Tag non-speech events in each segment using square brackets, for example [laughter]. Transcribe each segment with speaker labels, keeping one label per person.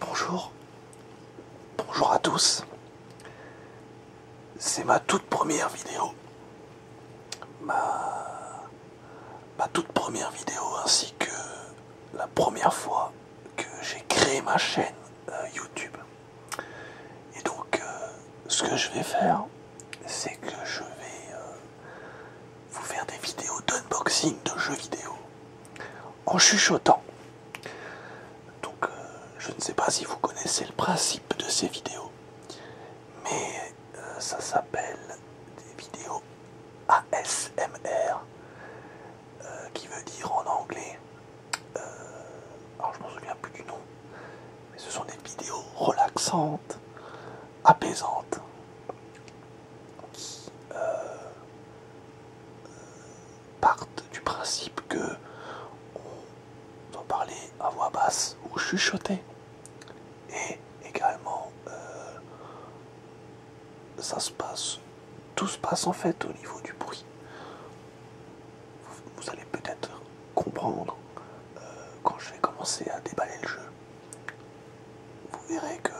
Speaker 1: Bonjour, bonjour à tous. C'est ma toute première vidéo. Ma... toute première vidéo ainsi que la première fois que j'ai créé ma chaîne euh, YouTube. Et donc euh, ce que je vais faire, c'est que je vais euh, vous faire des vidéos d'unboxing de jeux vidéo en chuchotant. Donc euh, je ne sais pas si vous connaissez le principe de ces vidéos, mais euh, ça s'appelle des vidéos ASMR, euh, qui veut dire en anglais, alors je me souviens plus du nom, mais ce sont des vidéos relaxantes apaisante qui euh, partent du principe que on doit parler à voix basse ou chuchoter et également euh, ça se passe tout se passe en fait au niveau du bruit vous, allez peut-être comprendre euh, quand je vais commencer à déballer le jeu vous verrez que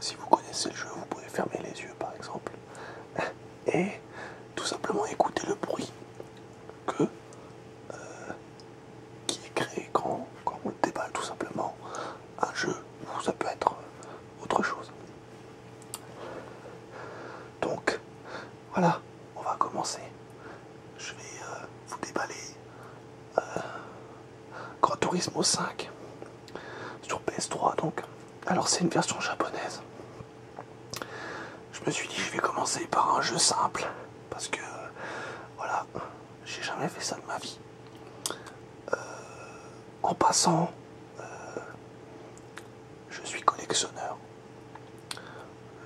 Speaker 1: si vous connaissez le jeu, vous pouvez fermer les yeux par exemple [laughs] et tout simplement écouter le bruit que, euh, qui est créé quand, quand on déballe tout simplement un jeu ou ça peut être euh, autre chose. Donc voilà on va commencer. Je vais euh, vous déballer grand euh, Gran Turismo 5 sur PS3 donc. Alors c'est une version japonaise. Je me suis dit je vais commencer par un jeu simple parce que voilà, j'ai jamais fait ça de ma vie. Euh, en passant, je suis collectionneur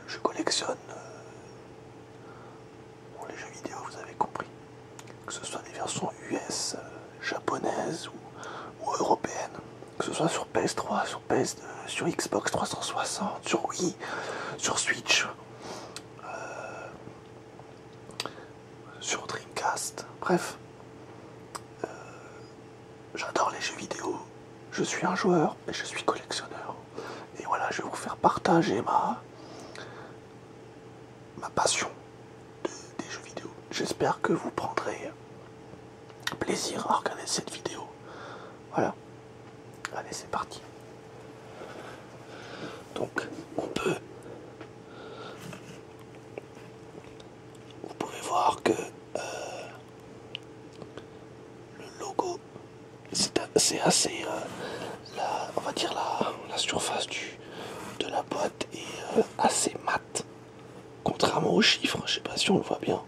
Speaker 1: je collectionne euh, les jeux vidéo, vous avez compris, que ce soit des versions US, euh, japonaises ou, européennes, que ce soit sur PS3, sur ps euh, sur Xbox 360, sur Wii, sur Switch, sur Dreamcast, bref j'adore les jeux vidéo, je suis un joueur, et je suis collectionneur. Et voilà, je vais vous faire partager ma, ma passion des jeux vidéo. J'espère que vous prendrez plaisir à regarder cette vidéo. Voilà. Allez, c'est parti. Donc, on peut... Vous pouvez voir que... Euh, le logo c'est assez euh, on va dire la, la surface du, de la boîte est euh, assez mate contrairement aux chiffres je sais pas si on le voit bien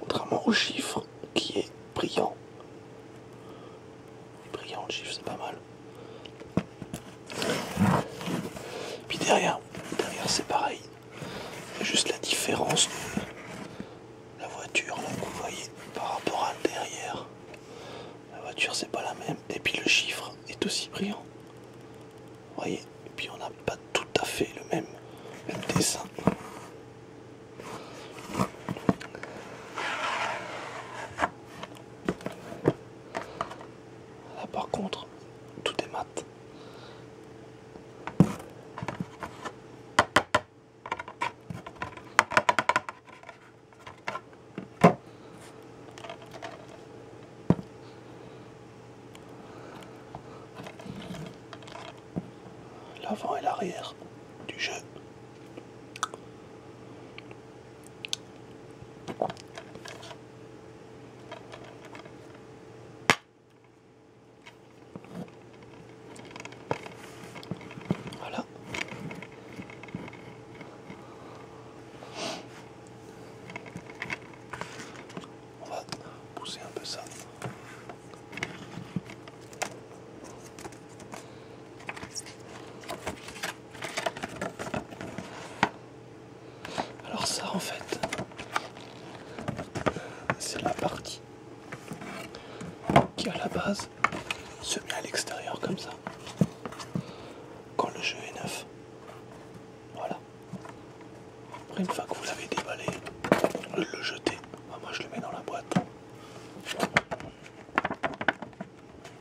Speaker 1: contrairement au chiffre qui est brillant brillant le chiffre c'est pas mal puis derrière derrière c'est pareil Juste la différence de la voiture, hein, vous voyez, par rapport à derrière. La voiture, c'est pas la même. Et puis le chiffre est aussi brillant. voyez Et puis on n'a pas tout à fait le même, même dessin. Là, par contre, tout est mat l'avant et l'arrière du jeu. Voilà. On va pousser un peu ça. Alors ça en fait, c'est la partie qui à la base se met à l'extérieur comme ça. Quand le jeu est neuf. Voilà. Après une fois que vous l'avez déballé, le jeter. Moi je le mets dans la boîte.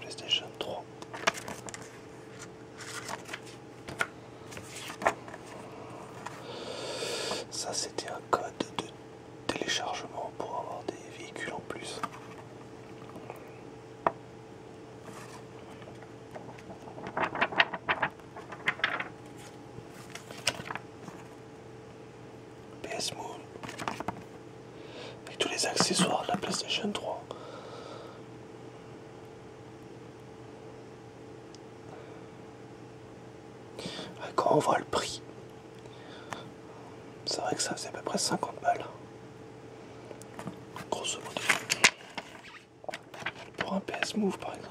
Speaker 1: PlayStation 3. Ça c'était un code de téléchargement pour avoir des véhicules en plus. PS Move avec tous les accessoires de la PlayStation 3. Ah, quand on voit le prix, c'est vrai que ça c'est à peu près 50 balles. Grosso modo. Pour un PS Move par exemple.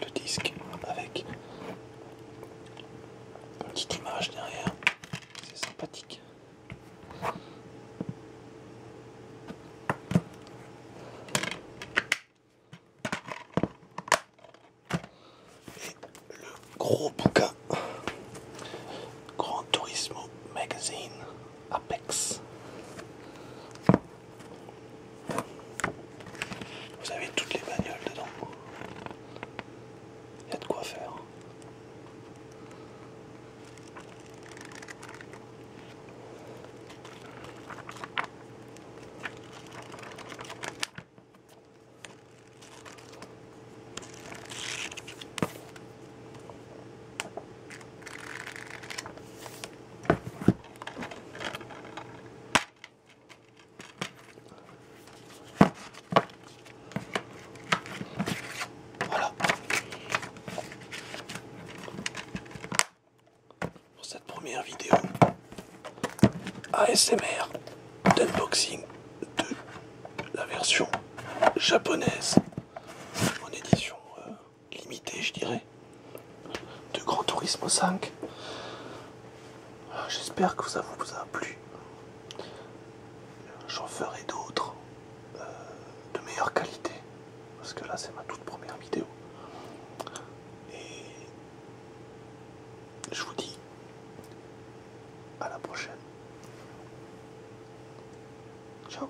Speaker 1: le disque avec une petite image derrière, c'est sympathique. Et le gros bouquin Grand Turismo Magazine Apex vous avez toutes les bagnoles dedans. Il y a de quoi faire. Voilà. Pour cette première vidéo ASMR boxing de la version japonaise en édition euh, limité je dirais, de Grand Tourisme 5. Ah, j'espère que ça vous a plu. J'en ferai d'autres euh, de meilleure qualité, parce que là c'est ma toute première vidéo. Et je vous dis à la prochaine. Ciao